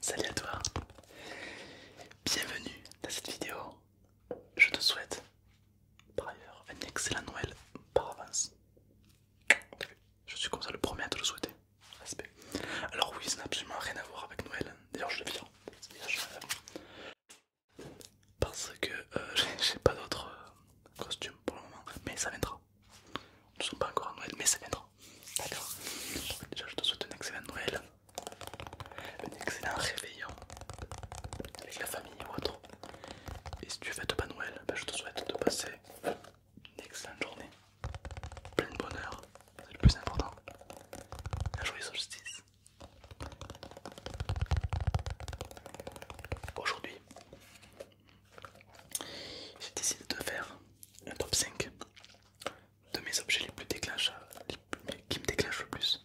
Salut à toi, bienvenue dans cette vidéo. Je te souhaite par ailleurs un excellent Noël par avance. Je suis comme ça le premier à te le souhaiter. Respect. Alors oui, ça n'a absolument rien à voir avec Noël. D'ailleurs, je le vire. Hein parce que euh, j'ai pas d'autres euh, costumes pour le moment, mais ça viendra. Nous sommes pas encore à Noël, mais ça viendra. D'accord. Déjà, je te souhaite une excellent Noël, un excellent réveillon avec la famille ou autre. Et si tu fêtes pas Noël, ben, je te souhaite de passer une excellente journée, plein de bonheur, c'est le plus important. Un joyeux justice Aujourd'hui, j'ai décidé de faire un top 5 de mes objets les plus déclencheurs, qui me déclenchent le plus.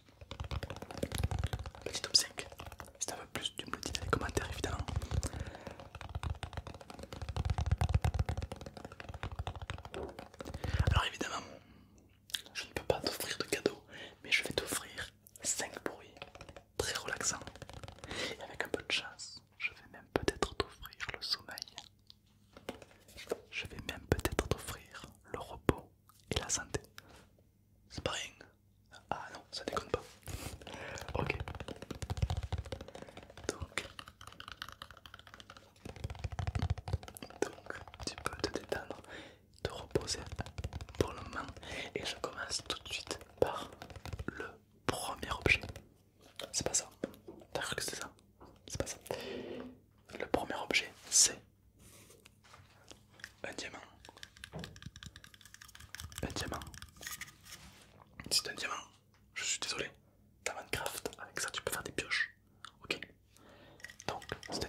Petit top 5. Si t'en veux plus, tu me le dis dans les commentaires évidemment. Alors évidemment, je ne peux pas t'offrir de cadeau, mais je vais t'offrir 5 bruits très relaxants. Et avec un peu de chance, je vais même peut-être t'offrir le sommeil. Je vais même peut-être t'offrir le repos et la santé. C'est pas rien. Ah non, ça déconne pas. Ok. Donc, donc tu peux te détendre, te reposer pour le moment et je commence tout de suite par le premier objet. C'est pas ça, t'as cru que c'était ça C'est pas ça. Le premier objet c'est un diamant. Un diamant. C'est un diamant. Je suis désolé. Dans Minecraft, avec ça tu peux faire des pioches. Ok. Donc, c'est un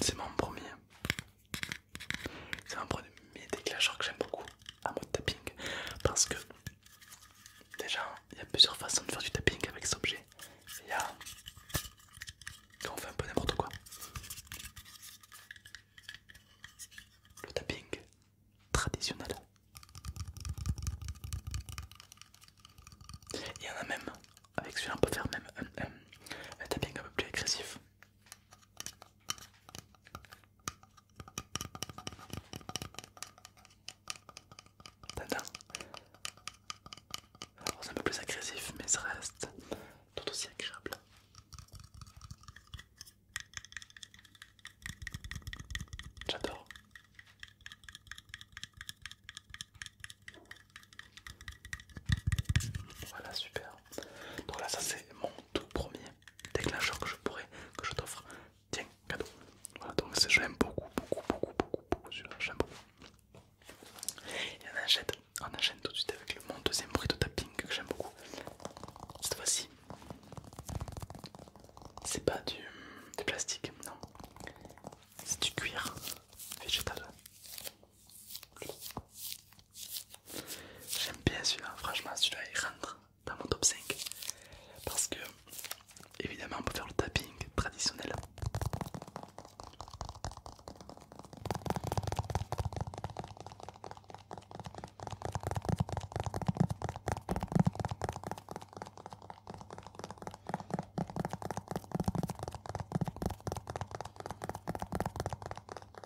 C'est mon premier. C'est un premier déclencheur que j'aime beaucoup à mode tapping parce que déjà il y a plusieurs façons de faire du tapping avec cet objet. Il y a quand on fait un peu n'importe quoi. Le tapping traditionnel. Il y en a même, avec celui-là on peut faire même un tapping un peu plus agressif c'est un peu plus agressif mais ce reste tout aussi agréable. J'adore. Voilà, super. Donc là, ça c'est mon tout premier déclencheur que je pourrais, que je t'offre. Tiens, cadeau. Voilà, donc j'aime l'aime beaucoup, beaucoup, beaucoup, beaucoup, beaucoup celui-là, j'aime beaucoup. Et on enchaîne, on enchaîne tout de suite avec mon deuxième bruit de tapping que j'aime beaucoup. Cette fois-ci, c'est pas du plastique, non. C'est du cuir végétal. J'aime bien celui-là, franchement celui-là il rentre dans mon top 5 parce que évidemment on peut faire le tapping traditionnel.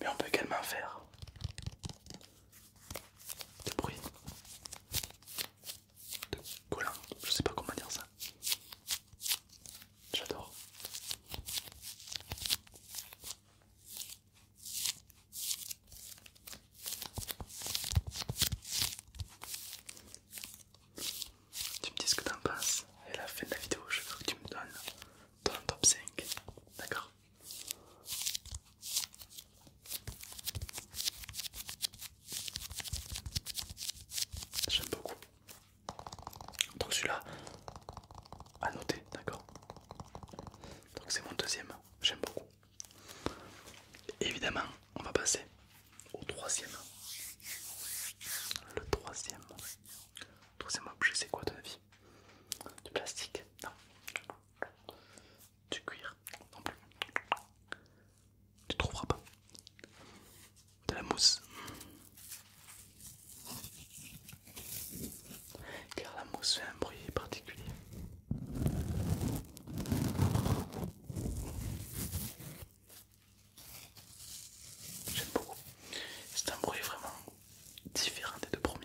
Mais on peut également faire des bruit de collant, je sais pas comment dire ça. J'adore. Tu me dis ce que t'en penses et à la fin de la vidéo je veux que tu me donnes ton top 5, d'accord J'aime beaucoup. Donc celui-là, à noter, d'accord Donc c'est mon deuxième, j'aime beaucoup. Évidemment, on va passer au troisième. Le troisième. Le troisième objet, c'est quoi de ton vie Du plastique Non du cuir non plus. Tu trouveras pas. De la mousse. Car la mousse fait un bruit particulier. J'aime beaucoup. C'est un bruit vraiment différent des deux premiers.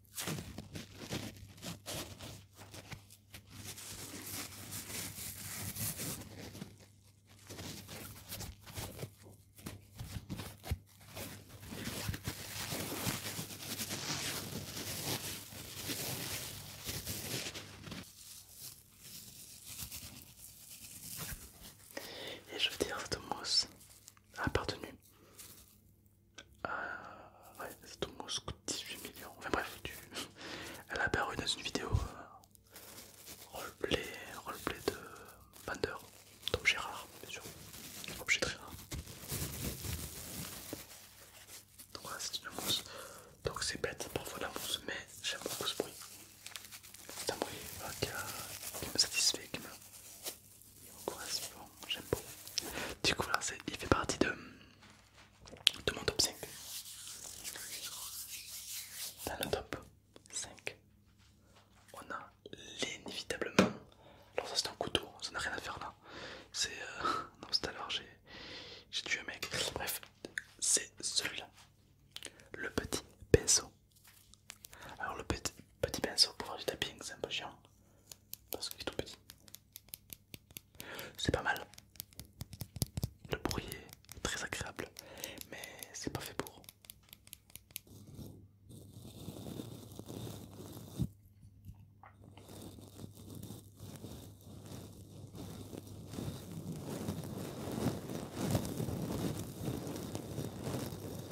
Et je veux dire, Thomas mousse a appartenu ah, Cette mousse coûte coûte 18 millions. Enfin bref, elle a apparu dans une vidéo euh, roleplay, de vendeur d'objets rares, bien sûr. Objet très rare. Donc c'est une mousse. Donc c'est bête parfois la mousse, mais j'aime beaucoup ce bruit. C'est un bruit euh, qui, me satisfait, il correspond, Du coup, là, il fait partie de, mon top 5. Dans le top 5, on a l'inévitablement. Alors, ça, c'est un couteau, ça n'a rien à faire là. C'est. Euh, non, c'est à l'heure, j'ai tué un mec. Bref, c'est celui-là. Le petit pinceau alors le petit, pinceau pour faire du tapping, c'est un peu chiant parce qu'il est tout petit. C'est pas mal. Le bruit est très agréable, mais c'est pas fait pour.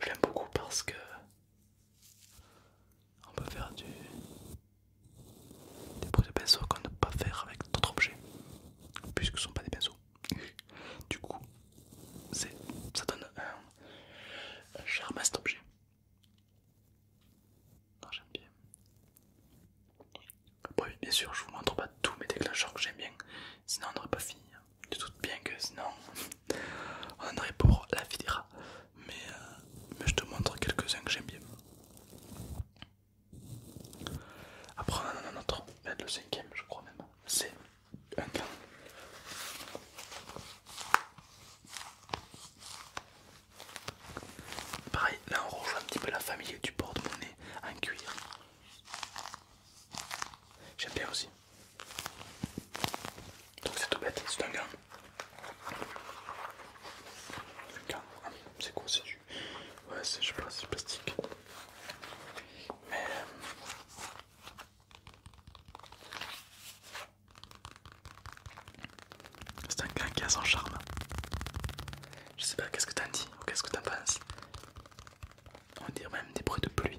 Je l'aime beaucoup parce que on peut faire du... des bruits de pinceau qu'on ne peut pas faire avec d'autres objets, puisque ce ne sont pas des pinceaux. Du coup, ça donne euh, un, charme à cet objet. J'aime bien. bien sûr, je vous montre pas tous mes déclencheurs que j'aime bien, sinon on n'aurait pas fini. du hein. tout bien que sinon on aurait pour la filière euh, mais je te montre quelques-uns que j'aime bien. Après, on en a un autre, le cinquième, je crois même. C'est un gant. Pareil, là on rejoint un petit peu la famille du porte-monnaie en cuir. J'aime bien aussi. Donc c'est tout bête, c'est un gant. Hein. C'est quoi C'est du Ouais, c'est, je pense pas, c'est plastique. Mais. C'est un gars qui a son charme. Je sais pas, qu'est-ce que t'en dis ou qu'est-ce que t'en penses On dire même des bruits de pluie.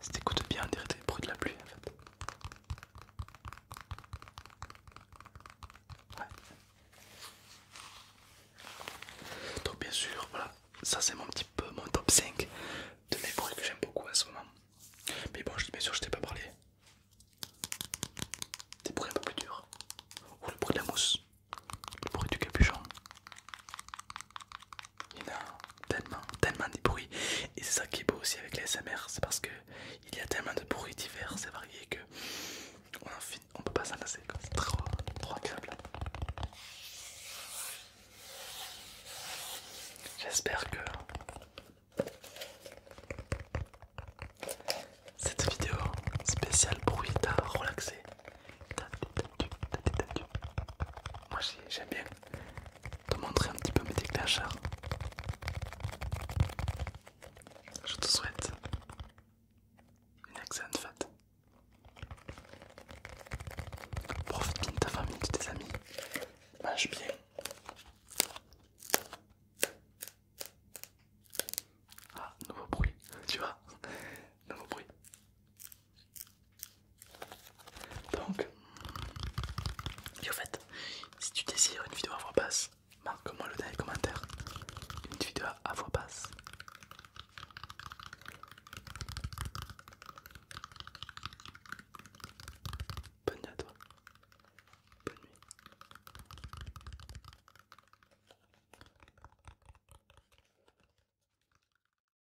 Si t'écoutes bien, on dirait des bruits de la pluie en fait. Donc bien sûr, voilà, ça c'est mon petit peu mon top 5 de mes bruits que j'aime beaucoup en ce moment. Mais bon, je dis bien sûr, je t'ai pas parlé des bruits un peu plus durs, ou le bruit de la mousse, le bruit du capuchon, il y a tellement, tellement des bruits. Et c'est ça qui est beau aussi avec les SMR, c'est parce que il y a tellement de bruits divers et variés que on peut pas s'en lasser. C'est trop, agréable. J'espère que cette vidéo spéciale bruit t'a relaxé. Moi j'aime bien te montrer un petit peu mes déclencheurs. Je te souhaite une excellente fête. Profite bien de ta famille, de tes amis. Mange bien. Ah, nouveau bruit, tu vois Nouveau bruit. Donc, et au fait, si tu désires une vidéo à voix basse, marque-moi le dans les commentaires. Une vidéo à voix basse. Bonne nuit à toi. Bonne nuit.